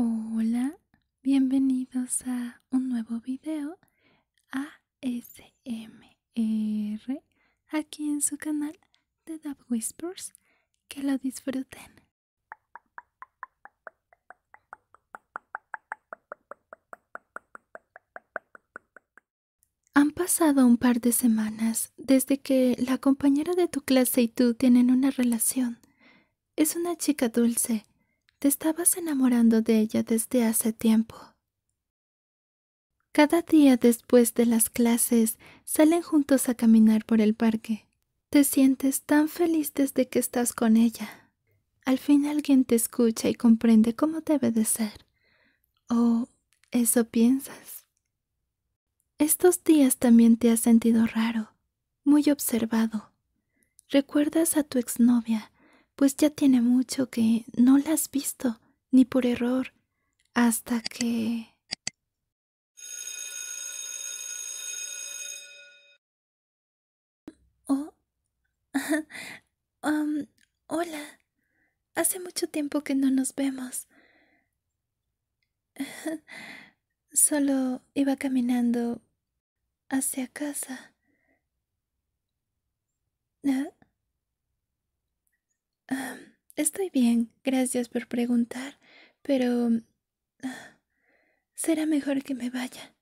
Hola, bienvenidos a un nuevo video ASMR aquí en su canal de Dub Whispers. Que lo disfruten. Han pasado un par de semanas desde que la compañera de tu clase y tú tienen una relación. Es una chica dulce. Te estabas enamorando de ella desde hace tiempo. Cada día después de las clases salen juntos a caminar por el parque. Te sientes tan feliz desde que estás con ella. Al fin alguien te escucha y comprende cómo debe de ser. ¿O oh, eso piensas? Estos días también te has sentido raro, muy observado. Recuerdas a tu exnovia, pues ya tiene mucho que no la has visto, ni por error, hasta que... Oh. Um, hola. Hace mucho tiempo que no nos vemos. Solo iba caminando hacia casa. ¿Ah? estoy bien, gracias por preguntar, pero ah, será mejor que me vaya.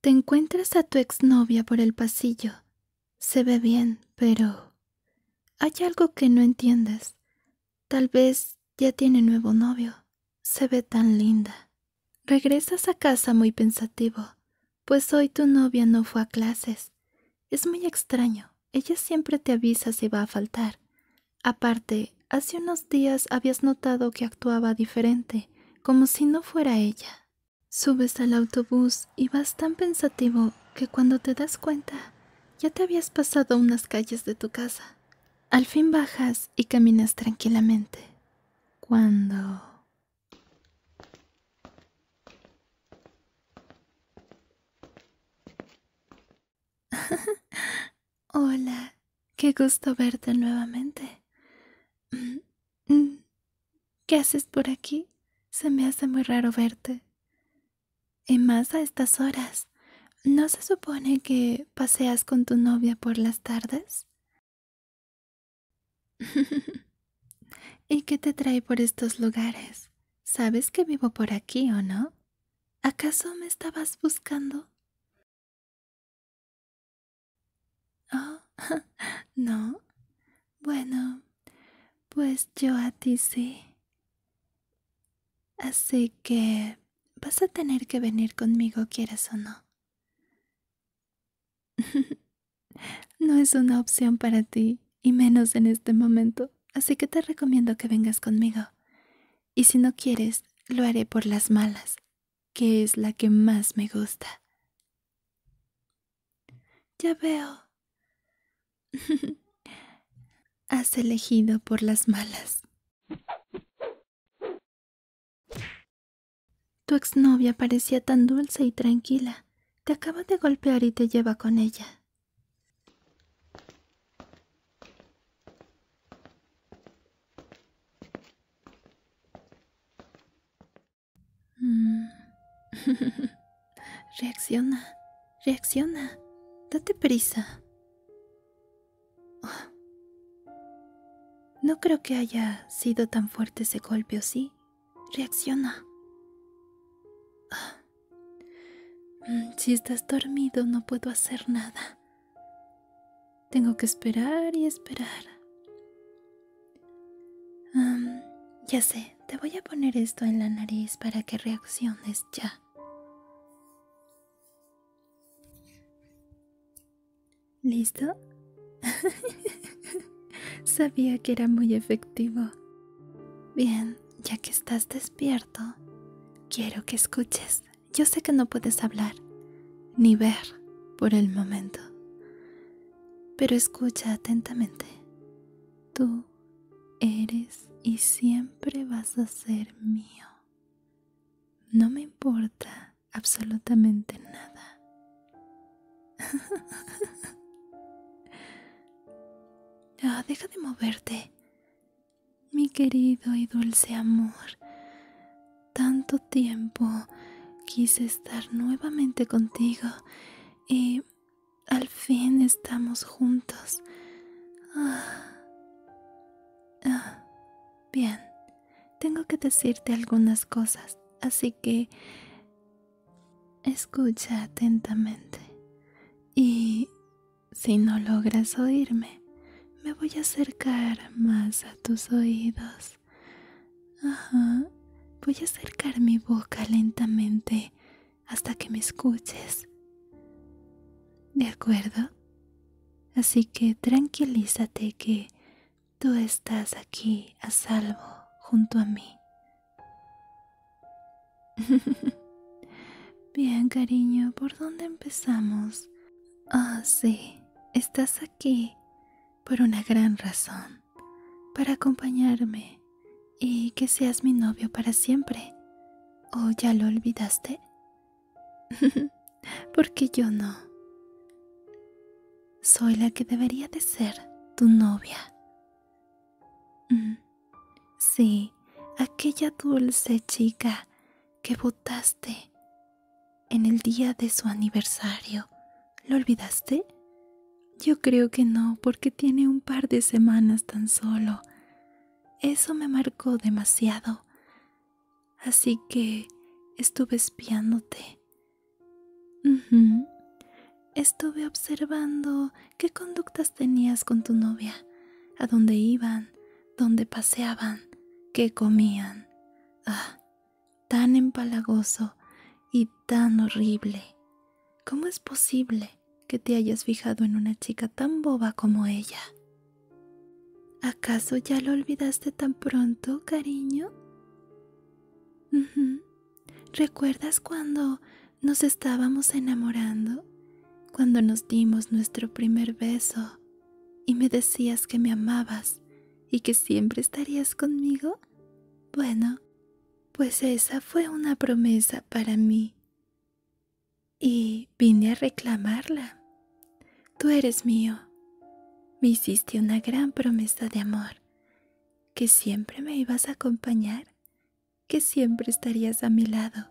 Te encuentras a tu exnovia por el pasillo. Se ve bien, pero... Hay algo que no entiendes. Tal vez ya tiene nuevo novio. Se ve tan linda. Regresas a casa muy pensativo, pues hoy tu novia no fue a clases. Es muy extraño. Ella siempre te avisa si va a faltar. Aparte, hace unos días habías notado que actuaba diferente como si no fuera ella. Subes al autobús y vas tan pensativo que cuando te das cuenta ya te habías pasado unas calles de tu casa. Al fin bajas y caminas tranquilamente. Cuando... Hola, Qué gusto verte nuevamente. Mm, mm, ¿Qué haces por aquí? Se me hace muy raro verte. Y más a estas horas. ¿No se supone que paseas con tu novia por las tardes? ¿Y qué te trae por estos lugares? ¿Sabes que vivo por aquí o no? ¿Acaso me estabas buscando? Oh, no. Bueno, pues yo a ti sí. Así que vas a tener que venir conmigo, quieras o no. no es una opción para ti, y menos en este momento, así que te recomiendo que vengas conmigo. Y si no quieres, lo haré por las malas, que es la que más me gusta. Ya veo. Has elegido por las malas. Tu exnovia parecía tan dulce y tranquila. Te acaba de golpear y te lleva con ella. Mm. reacciona, reacciona, date prisa. No creo que haya sido tan fuerte ese golpe, ¿o sí? Reacciona. Mm, si estás dormido no puedo hacer nada. Tengo que esperar y esperar. ya sé, te voy a poner esto en la nariz para que reacciones ya. ¿Listo? Sabía que era muy efectivo. Bien, ya que estás despierto, quiero que escuches yo sé que no puedes hablar ni ver por el momento, pero escucha atentamente. Tú eres y siempre vas a ser mío. No me importa absolutamente nada. deja de moverte mi querido y dulce amor. Tanto tiempo quise estar nuevamente contigo y al fin estamos juntos. Ah, ah, bien, tengo que decirte algunas cosas, así que escucha atentamente. Y si no logras oírme, me voy a acercar más a tus oídos. Voy a acercar mi boca lentamente hasta que me escuches. ¿De acuerdo? Así que tranquilízate que tú estás aquí a salvo junto a mí. Bien, cariño, ¿por dónde empezamos? Ah, sí estás aquí por una gran razón, para acompañarme y que seas mi novio para siempre. ¿O ya lo olvidaste? Porque yo no. Soy la que debería de ser tu novia. Mm, sí, aquella dulce chica que votaste en el día de su aniversario. ¿Lo olvidaste? Yo creo que no, porque tiene un par de semanas tan solo. Eso me marcó demasiado. Así que estuve espiándote. Estuve observando qué conductas tenías con tu novia, a dónde iban, donde paseaban, que comían. Ah, tan empalagoso y tan horrible. ¿Cómo es posible que te hayas fijado en una chica tan boba como ella? ¿Acaso ya lo olvidaste tan pronto, cariño? ¿Recuerdas cuando nos estábamos enamorando? Cuando nos dimos nuestro primer beso y me decías que me amabas y que siempre estarías conmigo? Bueno, pues esa fue una promesa para mí. Y vine a reclamarla. Tú eres mío. Me hiciste una gran promesa de amor, que siempre me ibas a acompañar, que siempre estarías a mi lado,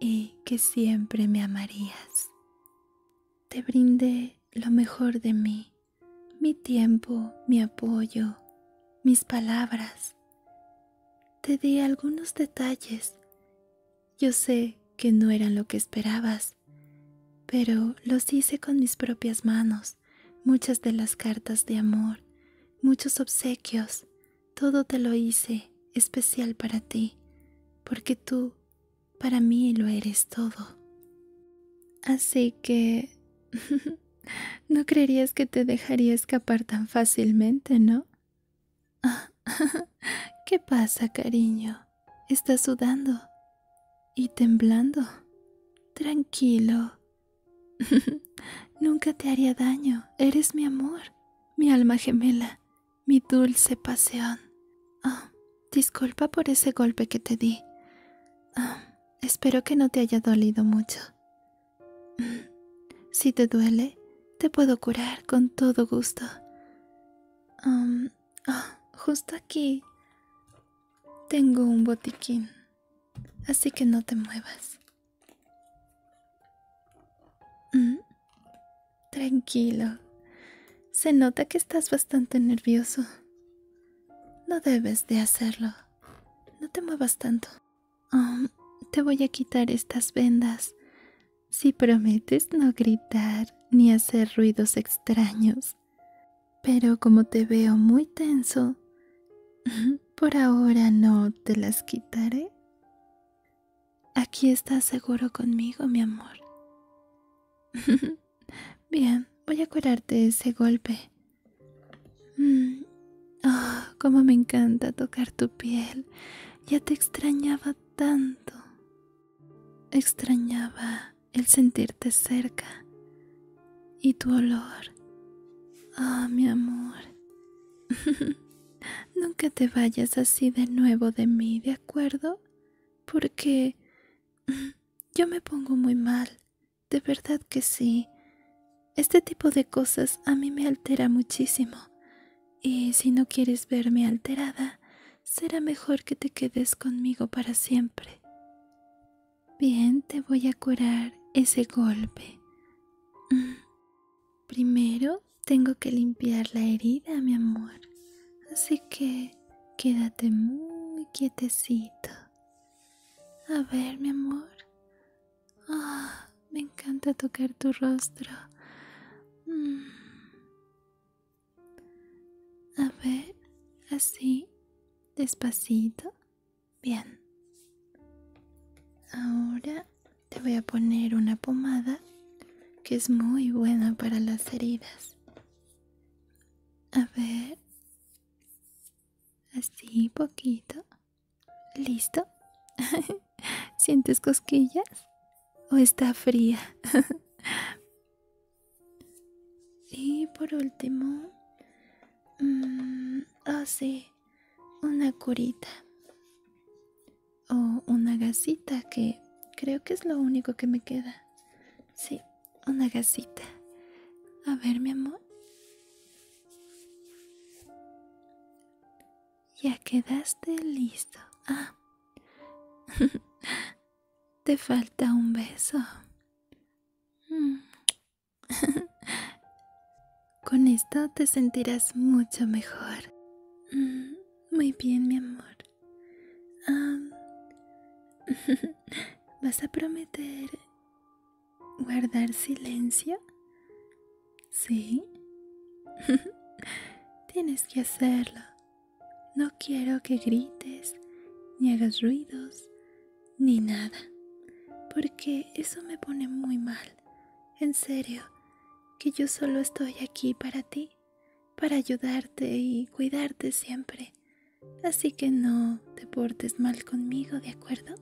y que siempre me amarías. Te brindé lo mejor de mí, mi tiempo, mi apoyo, mis palabras. Te di algunos detalles. Yo sé que no eran lo que esperabas, pero los hice con mis propias manos, muchas de las cartas de amor, muchos obsequios, todo te lo hice especial para ti, porque tú para mí lo eres todo. Así que... no creerías que te dejaría escapar tan fácilmente, ¿no? ¿Qué pasa, cariño? Estás sudando y temblando. Tranquilo. Nunca te haría daño. Eres mi amor, mi alma gemela, mi dulce pasión. Ah, disculpa por ese golpe que te di. Ah, espero que no te haya dolido mucho. Mm, si te duele, te puedo curar con todo gusto. Ah, justo aquí tengo un botiquín, así que no te muevas. Mm, tranquilo. Se nota que estás bastante nervioso. No debes de hacerlo. No te muevas tanto. Um, te voy a quitar estas vendas. Si prometes no gritar ni hacer ruidos extraños. Pero como te veo muy tenso, por ahora no te las quitaré. Aquí estás seguro conmigo, mi amor. Bien, voy a curarte ese golpe. Oh, cómo me encanta tocar tu piel. Ya te extrañaba tanto. Extrañaba el sentirte cerca y tu olor. Ah, mi amor. Nunca te vayas así de nuevo de mí, ¿de acuerdo? Porque yo me pongo muy mal, de verdad que sí. Este tipo de cosas a mí me altera muchísimo. Y si no quieres verme alterada, será mejor que te quedes conmigo para siempre. Bien, te voy a curar ese golpe. Mm, primero tengo que limpiar la herida, mi amor. Así que quédate muy quietecito. A ver, mi amor. Ah, me encanta tocar tu rostro. Mm. A ver, así, despacito. Bien. Ahora te voy a poner una pomada que es muy buena para las heridas. A ver. Así, poquito. ¿Listo? ¿Sientes cosquillas? ¿O está fría? y por último... Mm, así. Ah, una curita o una gasita que creo que es lo único que me queda. Sí, una gasita. A ver, mi amor. Ya quedaste listo. Ah. Te falta un beso. Mm. Con esto te sentirás mucho mejor. Mm, muy bien, mi amor. ¿Vas a prometer guardar silencio? Sí. Tienes que hacerlo. No quiero que grites, ni hagas ruidos, ni nada, porque eso me pone muy mal. En serio, que yo solo estoy aquí para ti, para ayudarte y cuidarte siempre. Así que no te portes mal conmigo, ¿de acuerdo?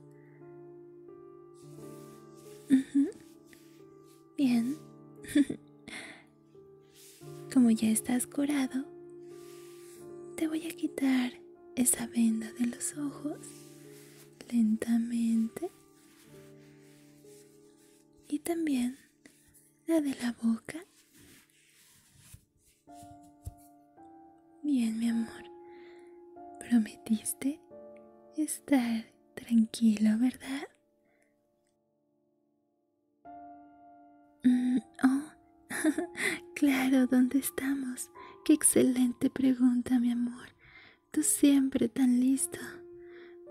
Bien. Como ya estás curado, te voy a quitar esa venda de los ojos lentamente y también la de la boca. Bien, mi amor, prometiste estar tranquilo, ¿verdad? Mm, oh, claro, ¿dónde estamos? Qué excelente pregunta, mi amor. Tú siempre tan listo.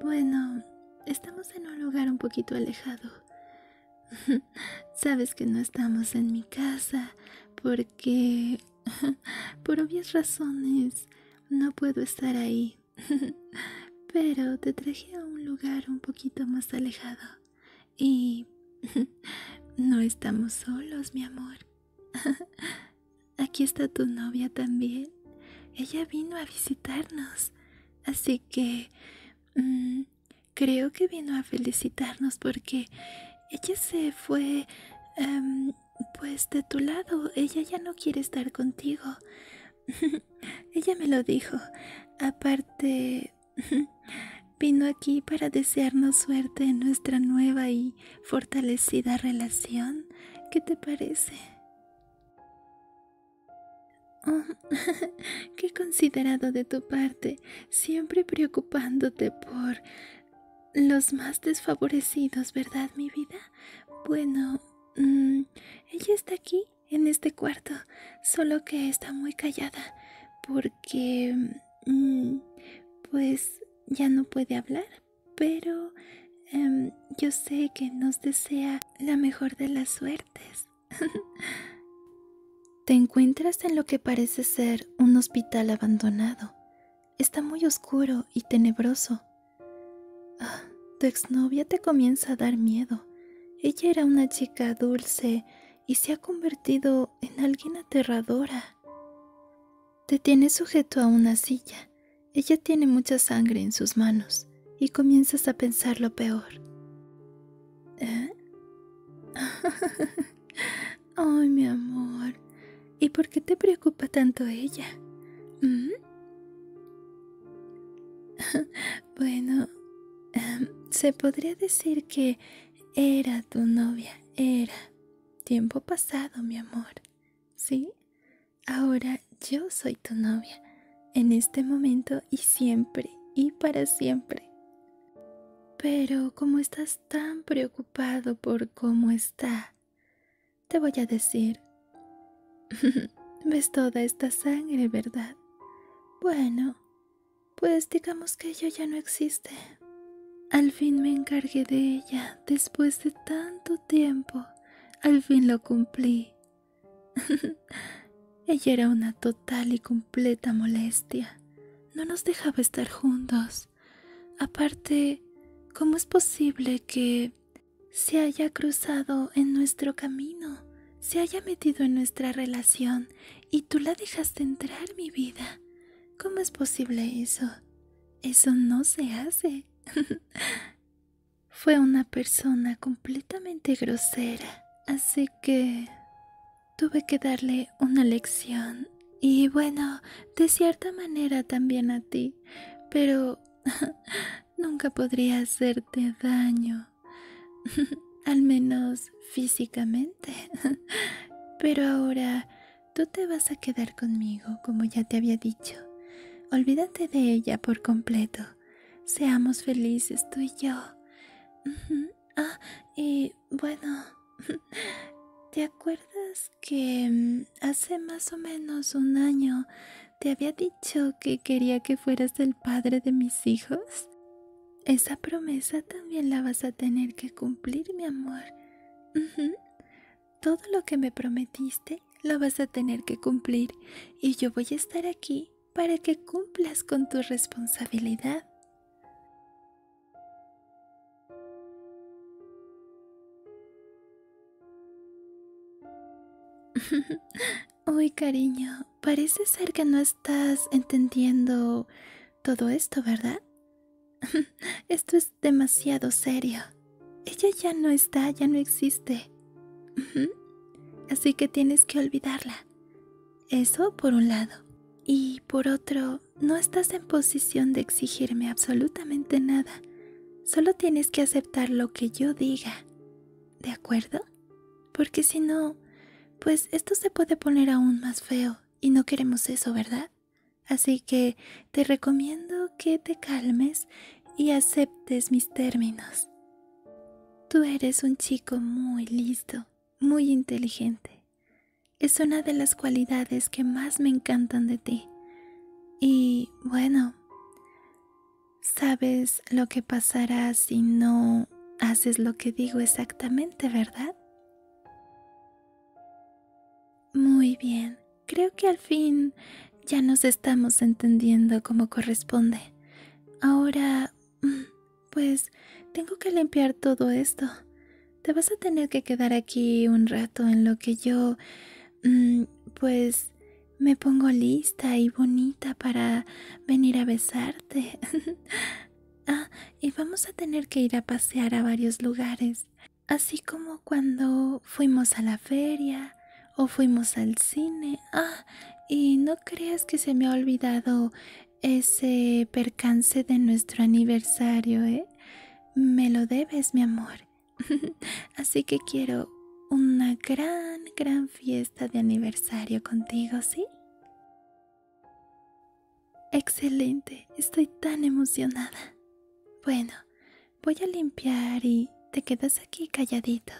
Bueno, estamos en un lugar un poquito alejado. Sabes que no estamos en mi casa porque, por obvias razones, no puedo estar ahí. Pero te traje a un lugar un poquito más alejado. Y no estamos solos, mi amor. Aquí está tu novia también. Ella vino a visitarnos. Así que... Mm, creo que vino a felicitarnos porque ella se fue... Em, pues de tu lado. Ella ya no quiere estar contigo. ella me lo dijo. Aparte... vino aquí para desearnos suerte en nuestra nueva y fortalecida relación. ¿Qué te parece? Oh, qué considerado de tu parte, siempre preocupándote por los más desfavorecidos, ¿verdad, mi vida? Bueno, mm, ella está aquí, en este cuarto, solo que está muy callada, porque, mm, pues, ya no puede hablar, pero em, yo sé que nos desea la mejor de las suertes. Te encuentras en lo que parece ser un hospital abandonado. Está muy oscuro y tenebroso. Ah, tu exnovia te comienza a dar miedo. Ella era una chica dulce y se ha convertido en alguien aterradora. Te tienes sujeto a una silla. Ella tiene mucha sangre en sus manos y comienzas a pensar lo peor. ¿Eh? Ay, mi amor, ¿y por qué te preocupa tanto ella? ¿Mm? bueno, em, se podría decir que era tu novia, era, Tiempo pasado, mi amor. ¿Sí? Ahora yo soy tu novia, en este momento y siempre y para siempre. Pero como estás tan preocupado por cómo está, te voy a decir, ves toda esta sangre, ¿verdad? Bueno, pues digamos que yo ya no existe. Al fin me encargué de ella después de tanto tiempo. Al fin lo cumplí. ella era una total y completa molestia. No nos dejaba estar juntos. Aparte, ¿cómo es posible que se haya cruzado en nuestro camino? se haya metido en nuestra relación y tú la dejaste entrar en mi vida. ¿Cómo es posible eso? Eso no se hace. Fue una persona completamente grosera, así que tuve que darle una lección. Y bueno, de cierta manera también a ti, pero nunca podría hacerte daño. Al menos físicamente. Pero ahora Tú te vas a quedar conmigo, como ya te había dicho. Olvídate de ella por completo. Seamos felices tú y yo. Ah, y bueno, ¿te acuerdas que mm, hace más o menos un año te había dicho que quería que fueras el padre de mis hijos? Esa promesa también la vas a tener que cumplir, mi amor. Todo lo que me prometiste lo vas a tener que cumplir y yo voy a estar aquí para que cumplas con tu responsabilidad. Uy, cariño, parece ser que no estás entendiendo todo esto, ¿verdad? esto es demasiado serio. Ella ya no está, ya no existe. Así que tienes que olvidarla. Eso por un lado. Y por otro, no estás en posición de exigirme absolutamente nada. Solo tienes que aceptar lo que yo diga. ¿De acuerdo? Porque si no, pues esto se puede poner aún más feo y no queremos eso, ¿verdad? Así que te recomiendo que te calmes y aceptes mis términos. Tú eres un chico muy listo, muy inteligente. Es una de las cualidades que más me encantan de ti. Y bueno, sabes lo que pasará si no haces lo que digo exactamente, ¿verdad? Muy bien, creo que al fin ya nos estamos entendiendo como corresponde. Ahora, mm, pues tengo que limpiar todo esto. Te vas a tener que quedar aquí un rato en lo que yo, mm, pues, me pongo lista y bonita para venir a besarte. Ah, y vamos a tener que ir a pasear a varios lugares, así como cuando fuimos a la feria o fuimos al cine. Ah, y no creas que se me ha olvidado ese percance de nuestro aniversario, ¿eh? Me lo debes, mi amor. así que quiero una gran, gran fiesta de aniversario contigo, ¿sí? Excelente, estoy tan emocionada. Bueno, voy a limpiar y te quedas aquí calladito.